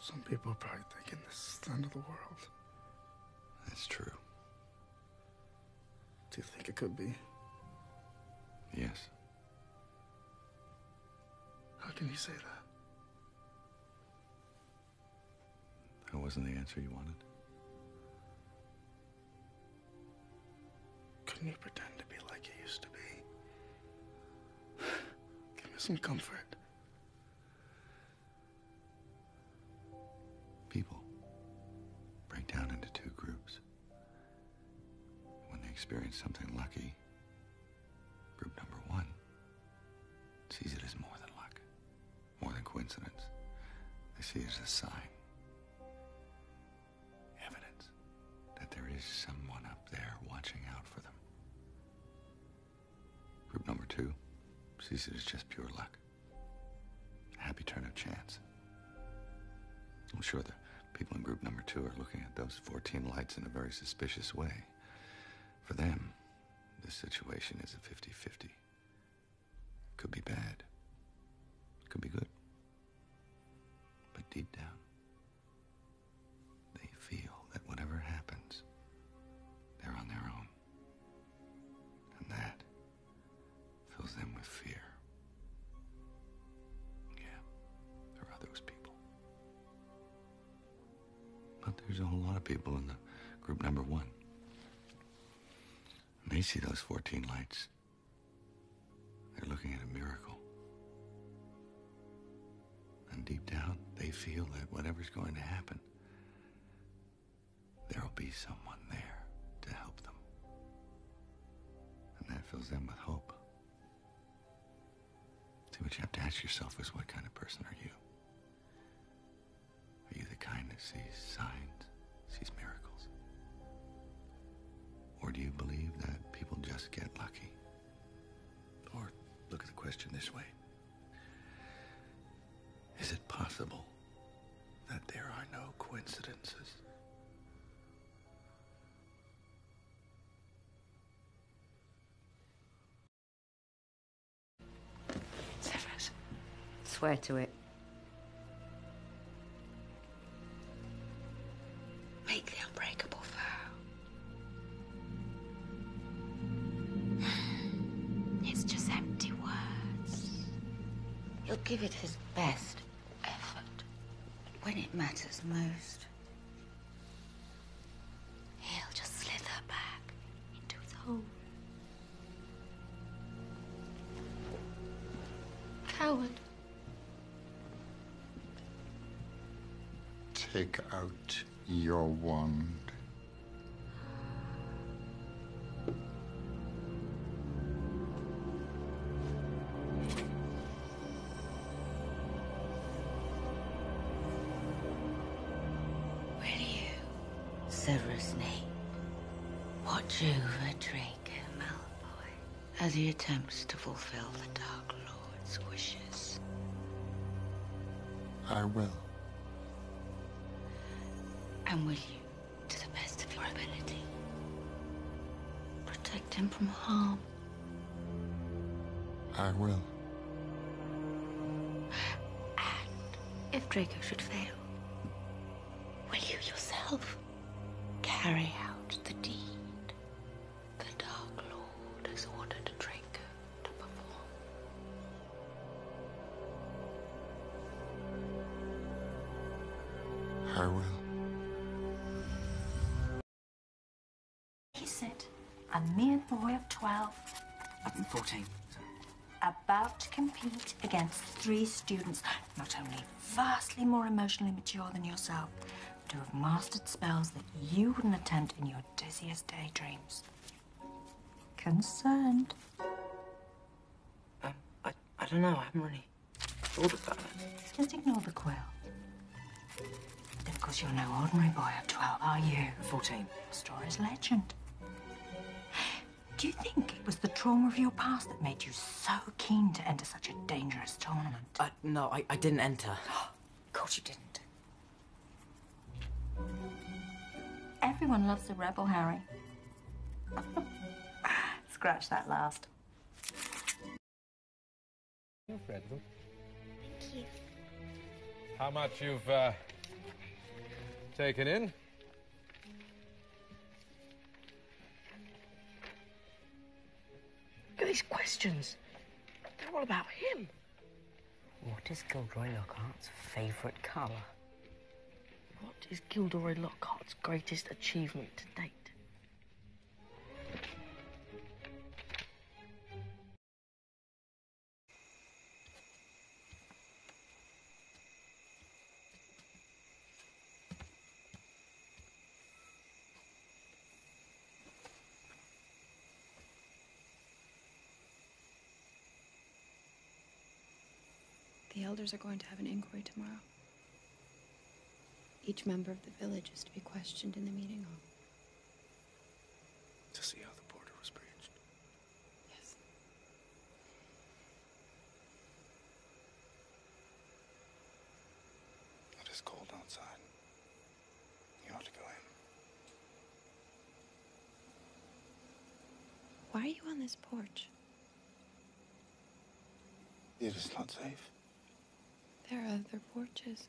Some people are probably thinking this is the end of the world. That's true. Do you think it could be? Yes. How can you say that? That wasn't the answer you wanted. Couldn't you pretend to be like you used to be? Give me some comfort. People break down into two groups. When they experience something lucky, Group number one sees it as more than luck, more than coincidence. They see it as a sign, evidence that there is someone up there watching out for them. Group number two sees it as just pure luck, a happy turn of chance. I'm sure the People in group number two are looking at those 14 lights in a very suspicious way. For them, this situation is a 50 50. Could be bad, It could be good. But deep down, they feel that whatever happens, they're on their own. And that fills them with fear. Yeah, there are those people. But there's a whole lot of people in the group number one. they see those 14 lights. They're looking at a miracle. And deep down, they feel that whatever's going to happen, there'll be someone there to help them. And that fills them with hope. See, what you have to ask yourself is what kind of person are you? Are you the kind that sees signs, sees miracles? Or do you believe that people just get lucky? Or look at the question this way Is it possible that there are no coincidences? Severus. Swear to it. Make the unbreakable vow. It's just empty words. He'll give it his best effort when it matters most. He'll just slither back into his hole. Coward. Take out your wand. Will you, Severus Snape, watch over Draco Malfoy as he attempts to fulfill the Dark Lord's wishes? I will. And will you, to the best of your ability, protect him from harm? I will. And if Draco should fail, will you yourself carry out the deed the Dark Lord has ordered Draco to perform? I will. He said, a mere boy of 12. 14, About to compete against three students, not only vastly more emotionally mature than yourself, but who have mastered spells that you wouldn't attempt in your dizziest daydreams. Concerned? Um, I, I don't know. I haven't really thought about it. Just ignore the quill. Of course, you're no ordinary boy of 12, are you? 14. Your story's legend. Do you think it was the trauma of your past that made you so keen to enter such a dangerous tournament? Uh, no, I, I didn't enter. of course you didn't. Everyone loves a rebel, Harry. Scratch that last. How much you've uh, taken in? Look at these questions. They're all about him. What is Gilderoy Lockhart's favourite colour? What is Gilderoy Lockhart's greatest achievement to date? The elders are going to have an inquiry tomorrow. Each member of the village is to be questioned in the meeting hall. To see how the border was breached? Yes. It is cold outside. You ought to go in. Why are you on this porch? It is not safe. There are other porches.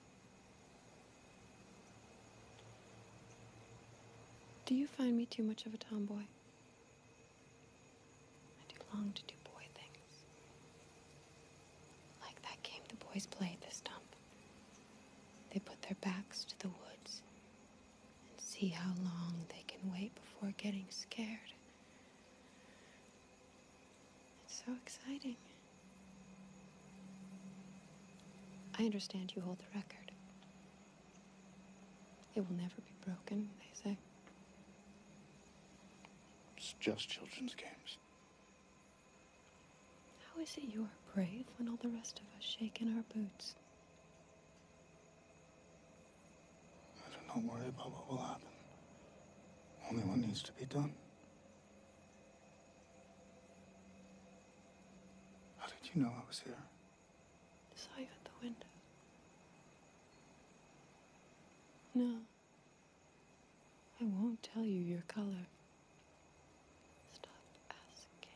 Do you find me too much of a tomboy? I do long to do boy things. Like that game the boys play at the stump. They put their backs to the woods and see how long they can wait before getting scared. It's so exciting. I understand you hold the record. It will never be broken, they say. It's just children's games. How is it you are brave when all the rest of us shake in our boots? I do not worry about what will happen. Only what needs to be done. How did you know I was here? I saw you at the window. No. I won't tell you your color. Stop asking.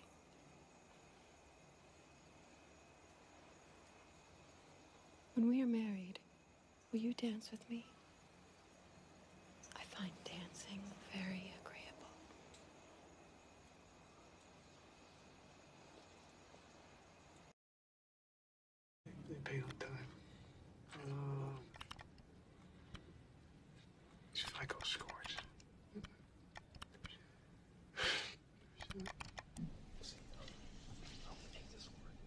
When we are married, Will you dance with me? I find dancing very agreeable. They paid on time. Um, FICO scores.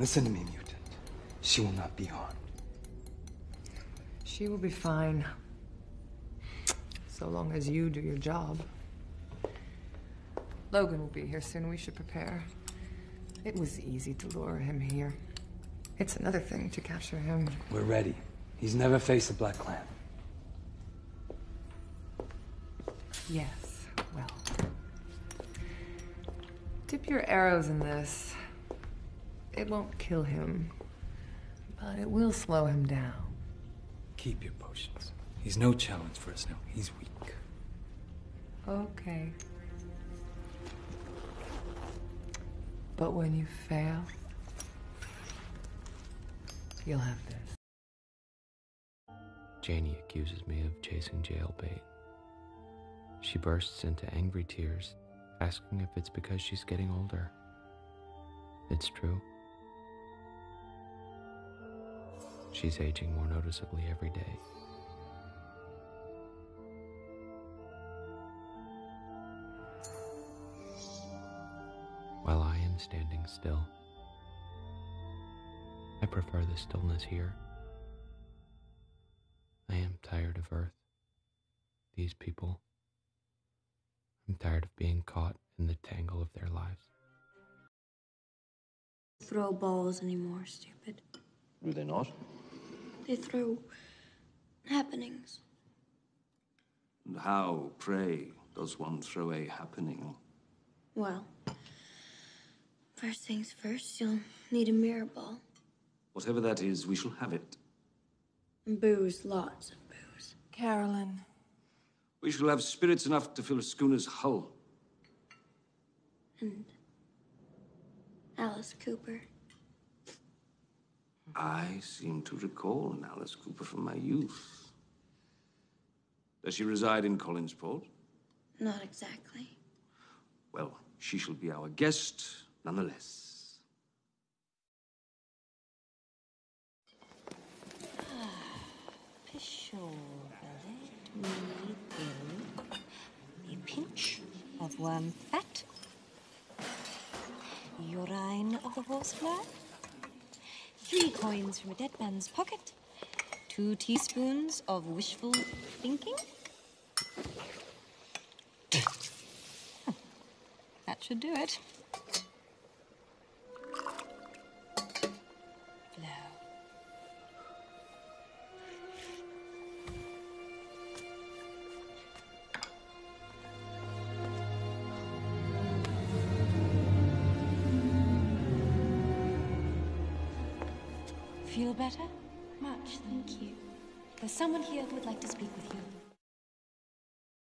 Listen to me, mutant. She will not be harmed. She will be fine. So long as you do your job. Logan will be here soon. We should prepare. It was easy to lure him here. It's another thing to capture him. We're ready. He's never faced the Black Clan. Yes, well. Dip your arrows in this. It won't kill him, but it will slow him down. Keep your potions. He's no challenge for us now. He's weak. Okay. But when you fail, you'll have this. Janie accuses me of chasing jail bait. She bursts into angry tears, asking if it's because she's getting older. It's true. She's aging more noticeably every day. While I am standing still, I prefer the stillness here. I am tired of Earth, these people. I'm tired of being caught in the tangle of their lives throw balls anymore, stupid. Do they not? They throw happenings. And how, pray, does one throw a happening? Well, first things first, you'll need a mirror ball. Whatever that is, we shall have it. And booze, lots of booze. Carolyn. We shall have spirits enough to fill a schooner's hull. And Alice Cooper. I seem to recall Alice Cooper from my youth. Does she reside in Collinsport? Not exactly. Well, she shall be our guest nonetheless. Let a pinch of worm fat, urine of a horsefly, three coins from a dead man's pocket, two teaspoons of wishful thinking. that should do it. Feel better? Much, thank you. There's someone here who would like to speak with you.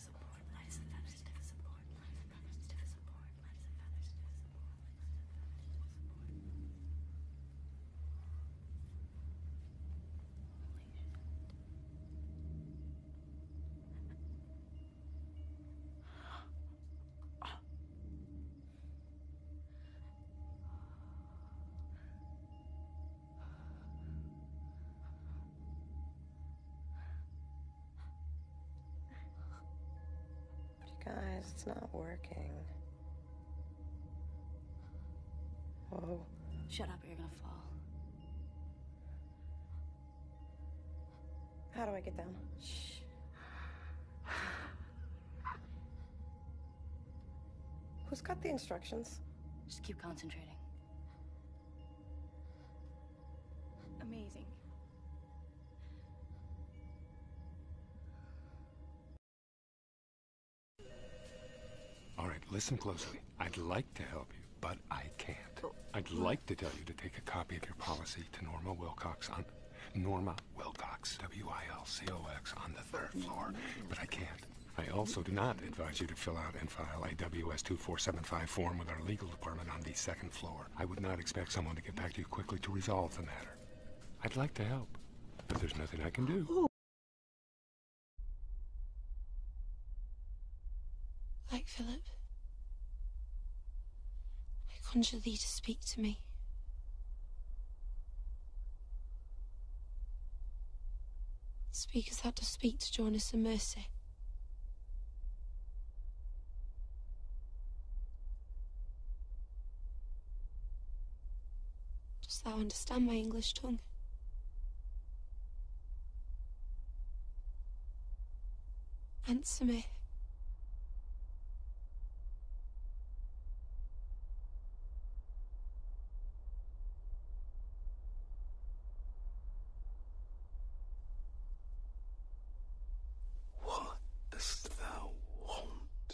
feathers and born, light as a feather, stiff as a board, light as a feather, stiff as a board, light as a feather, stiff as a board, light as a feather, stiff as a board. Holy shit. oh guys, it's not working. Whoa. Shut up or you're gonna fall. How do I get down? Shh. Who's got the instructions? Just keep concentrating. Amazing. All right, listen closely. I'd like to help you, but I can't. I'd like to tell you to take a copy of your policy to Norma Wilcox on Norma Wilcox, W-I-L-C-O-X, on the third floor, but I can't. I also do not advise you to fill out and file a WS-2475 form with our legal department on the second floor. I would not expect someone to get back to you quickly to resolve the matter. I'd like to help, but there's nothing I can do. Like Philip, I conjure thee to speak to me. Speakers thou to speak to Jonas and Mercy. Dost thou understand my English tongue? Answer me. What dost thou want?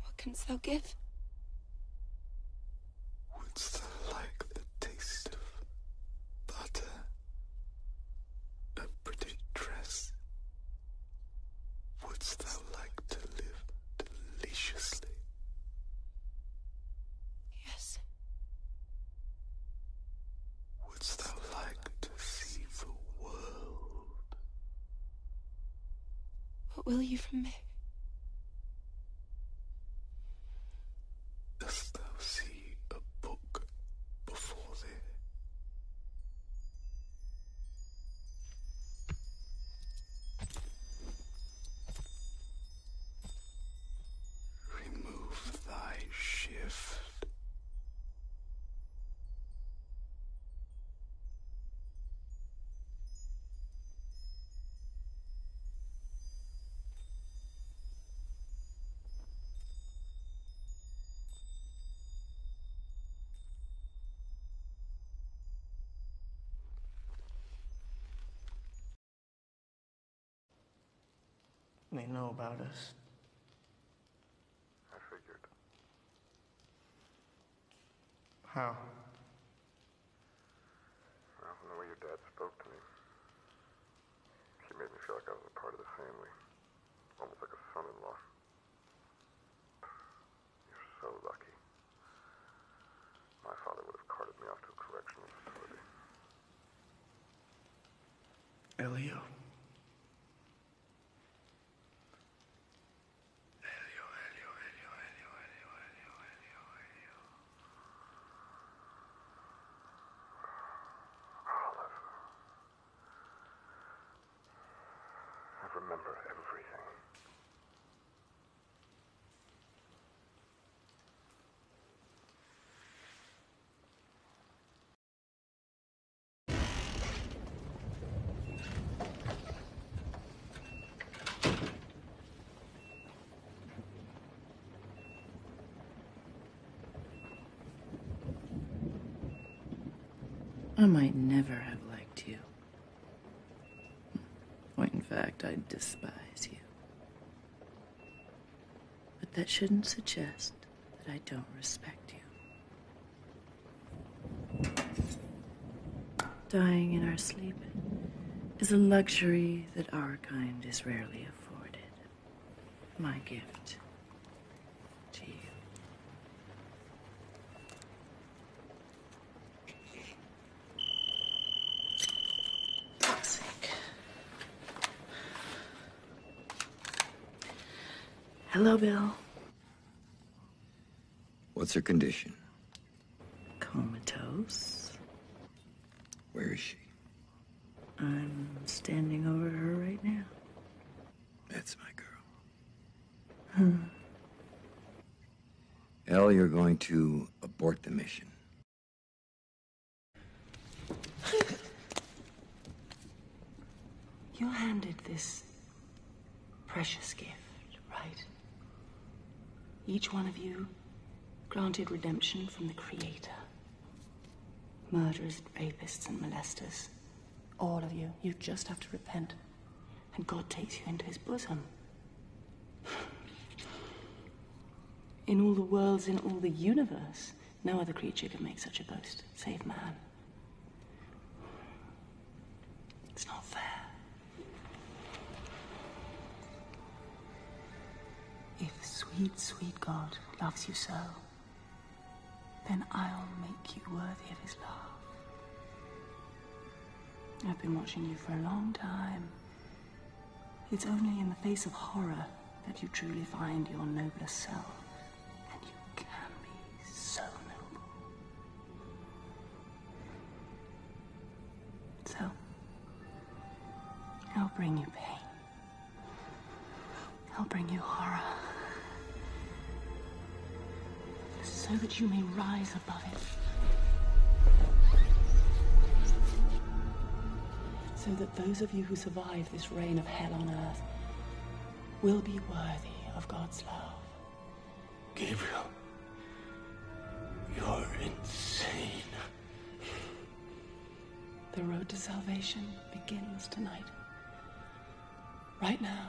What canst thou give? Wouldst thou like the taste of butter? A pretty dress? Wouldst thou like to live deliciously? Yes. Wouldst thou like to see the world? What will you from me? Dost thou see a book before thee? Remove thy shift. They know about us. I figured. How? Well, from the way your dad spoke to me, he made me feel like I was a part of the family, almost like a son-in-law. You're so lucky. My father would have carted me off to a correctional facility. Elio. I remember everything. I might never have liked you in fact, I despise you. But that shouldn't suggest that I don't respect you. Dying in our sleep is a luxury that our kind is rarely afforded. My gift to you. Toxic. Hello, Bill. What's her condition? Comatose. Where is she? I'm standing over her right now. That's my girl. Hmm. El, you're going to abort the mission. you handed this precious gift, right? Each one of you granted redemption from the Creator. Murderers, rapists, and molesters. All of you. You just have to repent and God takes you into his bosom. In all the worlds, in all the universe, no other creature can make such a boast, save man. It's not fair. If sweet, sweet God loves you so, then I'll make you worthy of his love. I've been watching you for a long time. It's only in the face of horror that you truly find your nobler self. And you can be so noble. So, I'll bring you pain. I'll bring you horror so that you may rise above it. So that those of you who survive this reign of hell on earth will be worthy of God's love. Gabriel, you're insane. The road to salvation begins tonight. Right now,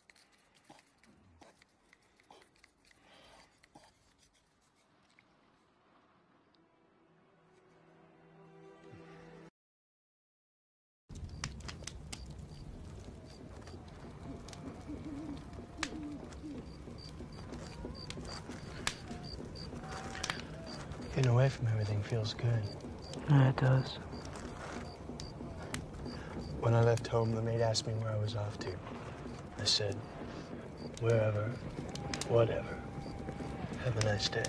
Getting away from everything feels good. Yeah, it does. When I left home, the maid asked me where I was off to. I said, wherever, whatever. Have a nice day.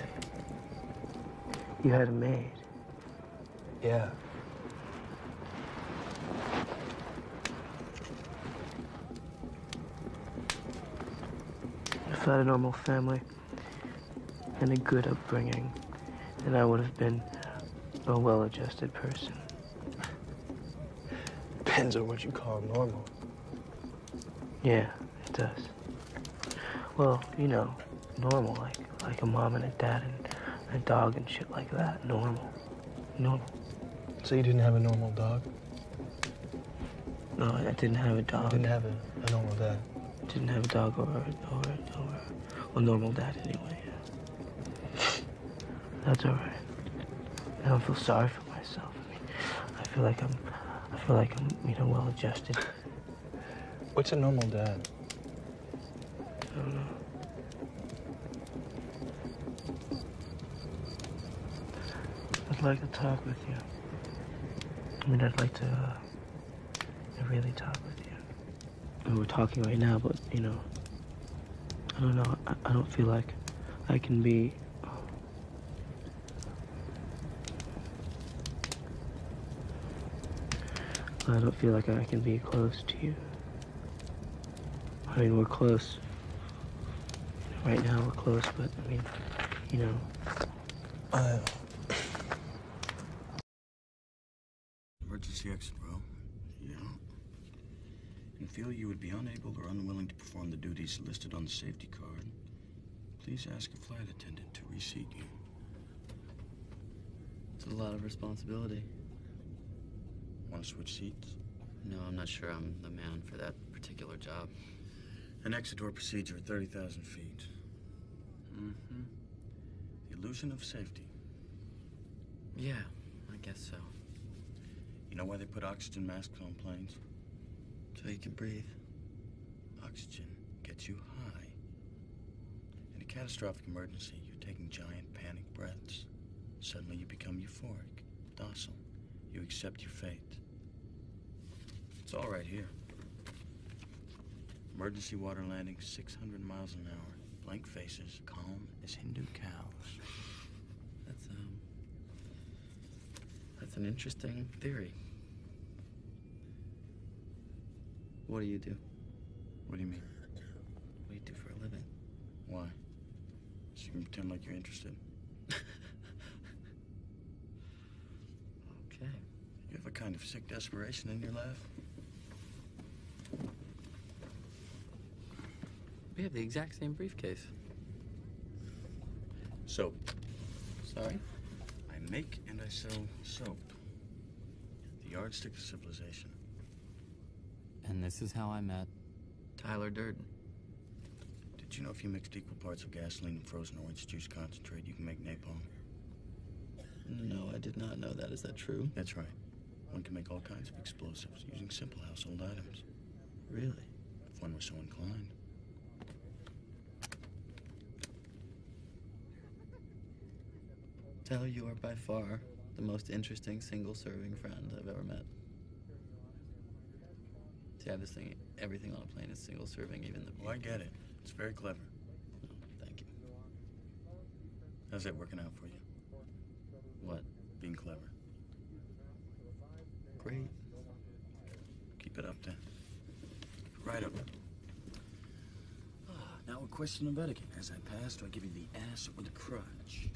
You had a maid? Yeah. If I had a normal family and a good upbringing, then I would have been a well-adjusted person. Depends on what you call normal. Yeah, it does. Well, you know, normal, like like a mom and a dad and a dog and shit like that. Normal. Normal. So you didn't have a normal dog? No, I didn't have a dog. I didn't have a, a normal dad. Didn't have a dog or or or, or a normal dad anyway. That's alright. I don't feel sorry for myself. I feel like I'm, I feel like I'm, you know, well adjusted. What's a normal dad? I don't know. I'd like to talk with you. I mean, I'd like to, uh, really talk with you we're talking right now, but you know, I don't know. I, don't feel like I can be. I don't feel like I can be close to you. I mean, we're close. Right now, we're close, but I mean, you know. I. Emergency exit row. Yeah. And feel you would be unable or unwilling to perform the duties listed on the safety card. Please ask a flight attendant to reseat you. It's a lot of responsibility. Want to switch seats? No, I'm not sure I'm the man for that particular job. An exit door procedure at 30,000 feet. Mm-hmm. The illusion of safety. Yeah, I guess so. You know why they put oxygen masks on planes? So you can breathe. Oxygen gets you high. In a catastrophic emergency, you're taking giant panic breaths. Suddenly you become euphoric, docile. You accept your fate. It's all right here. Emergency water landing 600 miles an hour. Blank faces, calm as Hindu cows. That's um That's an interesting theory. What do you do? What do you mean? What do you do for a living? Why? So you can pretend like you're interested. okay. You have a kind of sick desperation in your laugh. We have the exact same briefcase. Soap. Sorry? I make and I sell soap. The yardstick of civilization. And this is how I met Tyler Durden. Did you know if you mixed equal parts of gasoline and frozen orange juice concentrate, you can make napalm? No, I did not know that. Is that true? That's right. One can make all kinds of explosives using simple household items. Really? If one were so inclined. Tell you are by far the most interesting single serving friend I've ever met. To have this thing, everything on a plane is single serving, even the. Well, oh, I get it. It's very clever. Oh, thank you. How's that working out for you? What? Being clever. Great. Keep it up then. Right up. Ah, now a question of etiquette. As I pass, do I give you the ass or the crutch?